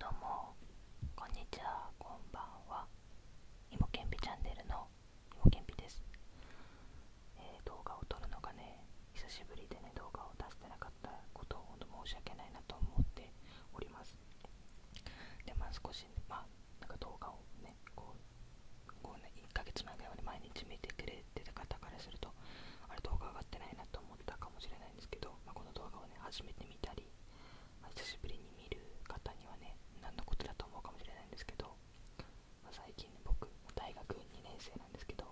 どうもこんにちはこんばんはイモけんぴチャンネルのイモけんぴです、え動画を撮るのがね久しぶりでね動画を出してなかったことを申し訳ないなと思っておりますでまあ少し、まあなんか動画をねこうこうね1ヶ月前ぐらいまで毎日見てくれてた方からすると。とあれ動画上がってないなと思ったかもしれないんですけど、まあ、この動画をね初めて見たり、久しぶりに見る方にはね何のことだと思うかもしれないんですけど、まあ、最近ね僕大学2年生なんですけど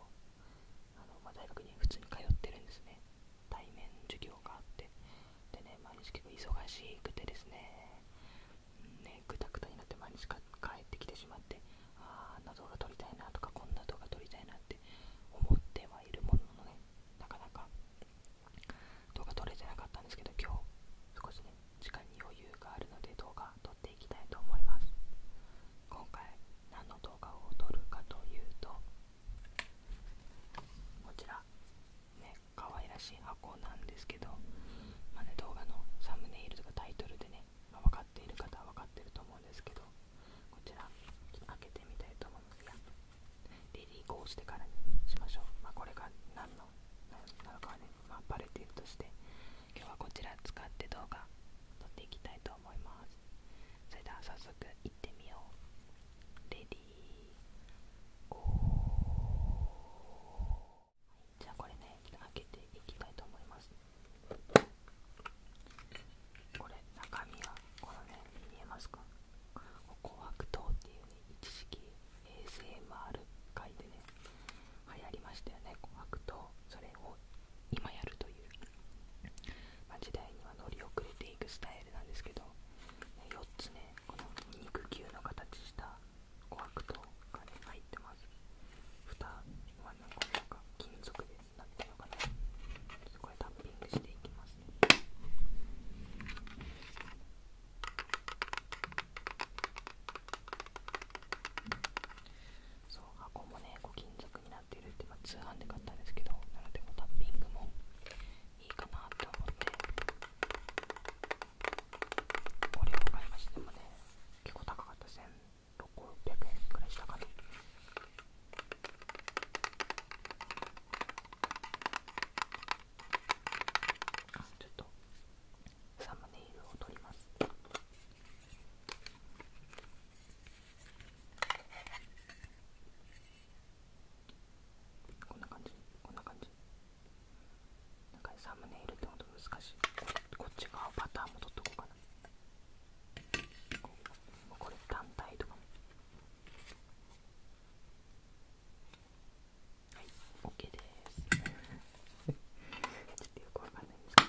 あの、ま大学に普通に通ってるんですね対面授業があってでね毎日結構忙しくてですねぐたぐたになって毎日通帰ってきてしまってああんな動画撮りたいなとかこんな動画撮りたいなって思ってはいるもののねなかなか動画撮れてなかったんですけど今日少しね時間に余裕があるので動画撮っていきたいと思います今回何の動画を撮るかというとこちらね可愛らしい箱なんですけどまあね動画のサムネイルとかタイトルでね分かっている方は分かってると思うんですけどこちら開けてみたいと思いますがディーこーしてからにしましょう、まこれが何のなのかはね、まバレているとして今日はこちら使って動画撮っていきたいと思いますそれでは早速いってみようレディーゴーじゃあこれね開けていきたいと思いますこれ中身はこのね見えますか琥珀糖っていうね一式 ASMR 界でね流行りましたよね琥珀糖それを今やるという、ま時代には乗り遅れていくスタイルなんですけど4つねこの肉球の形した琥珀糖が、ね、入ってます蓋はなんかなんか金属です。何てうのかなそこれ、タッピングしていきますねそう箱もねこう金属になってるって、いうか、通販で買ったんですけどなのでこタッピングもいいかなって思ってこれを買いましたもね結構高かった1600円くらいしたかなちょっとサムネイルを取りますこんな感じこんな感じなんかサムネイルってほと難しいこっち側パターンも取っとこうかなこれ単体とかもはい OK ですちょっとよくわかんないんですけど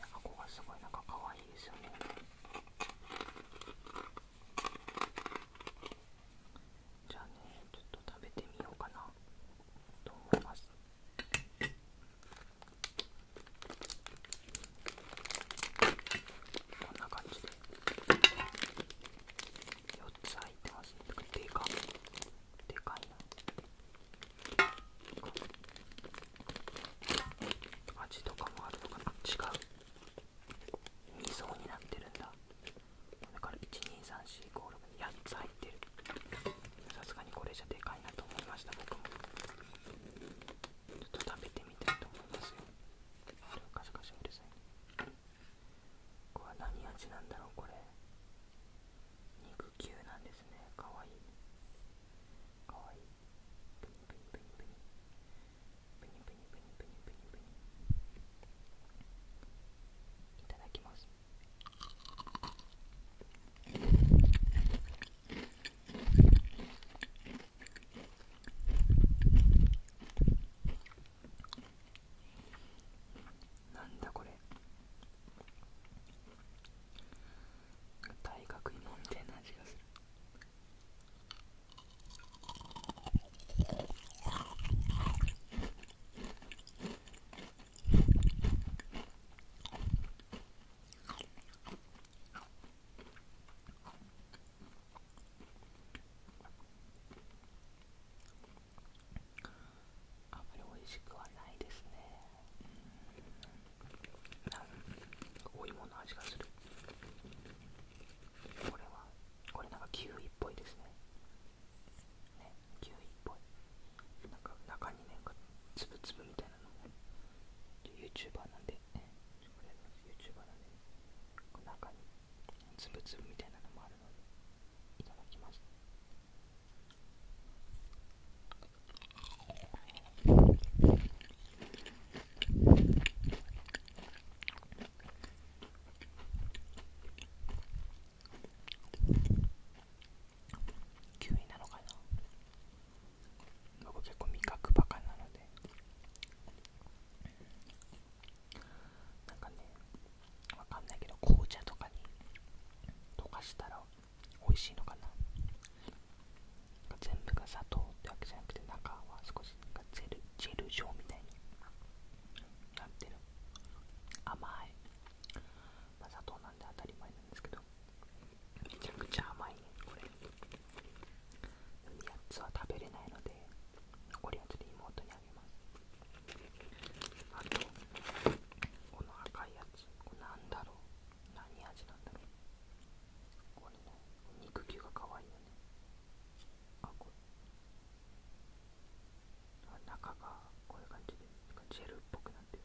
箱がすごいなんか可愛いですよねじゃあねちょっと食べてみようかなと思いますこんな感じで4つ入ってますねでかでかいな味とかもあるのかな違う2層になってるんだだから1234568つ入ってるさすがにこれじゃでかいなと思いました僕もちょっと食べてみたいと思いますよあれカシャカシャうるさいねこは何味なんだろうこれ肉球なんですねかわいいねかわいいプニプニプニプニプニプニプニプニプニいただきますなんだこれ大学芋みたいな味がするあまり美味しくはないですねうんお芋の味がするこれはこれなんかキウイっぽいですねねキウイっぽいなんか中にねつぶつぶみたいなのも YouTuber なんで、ね、俺の y o u t u b e この中につぶつぶみたいなのもあるので、いただきます。キウイなのかな僕結構味覚バカなのでなんかねわかんないけど紅茶とかに溶かしたら美味しいのかな全部が砂糖ってわけじゃなくて中は少しなんジェル状みたいになってる甘い、ま砂糖なんで当たり前なんですけどめちゃくちゃ甘いねこれ8つは食べれないので残りつで妹にあげますあとこの赤いやつこれなんだろう何味なんだろうこれね肉球がかわいいよねあこれ中がこういう感じでジェルっぽくなってる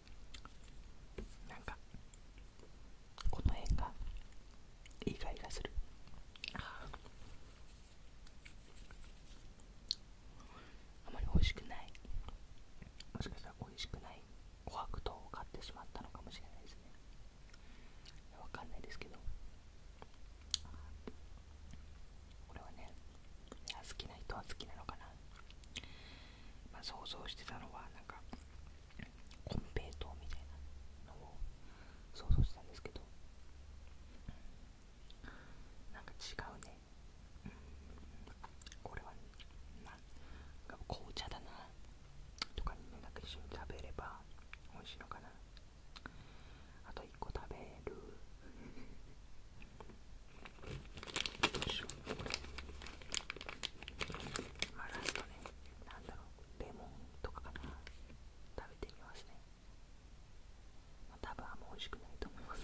なんかこの辺が意外がするあまり美味しくないもしかしたら美味しくない琥珀糖を買ってしまったのかもしれないですねわかんないですけどこれはね好きな人は好きなのかなまあ、想像してたのはなんか金平糖みたいなのを想像したんですけどなんか違うね、うん、これは、ね、なんか紅茶だなとかになんか一緒に食べれば美味しいのかなあと1個食べるしこれ。あ、ラストね、なんだろう、レモンとかかな、食べてみますね。まあ、多分あんま美味しくないと思います。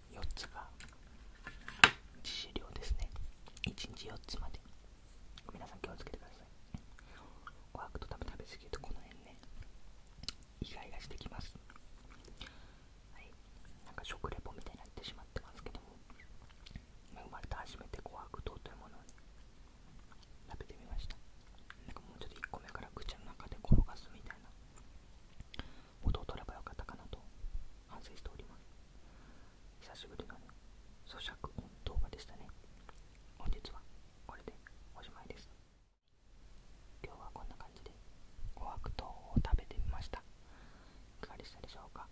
4つが致死量ですね1日4つまで皆さん気をつけてくださいおはくと多分食べ過ぎるとこの辺ねイガイガしてきますはいなんか食レポみたいになってしまってますけども生まれて初めて琥珀糖というものを、食べてみましたなんかもうちょっと1個目から口の中で転がすみたいな音をばよかったかなと反省しております久しぶりのね咀嚼音動でしたね本日はこれでおしまいです今日はこんな感じで琥珀糖食べてみましたいかがでしたでしょうか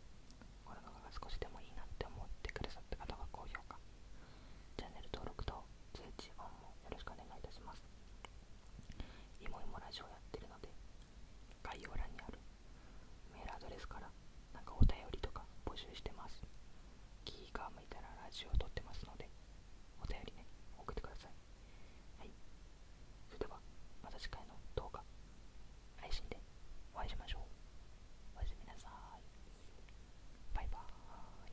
この動画が少しでもいいなって思ってくださった方は高評価チャンネル登録と通知音もよろしくお願いいたしますいもいもラジオやってるので概要欄にあるメールアドレスからなんかお便りとか募集してます気が向いたらラジオを撮ってますのでお便りね送ってくださいはいそれではまた次回の動画配信でお会いしましょうおやすみなさいバイバーイ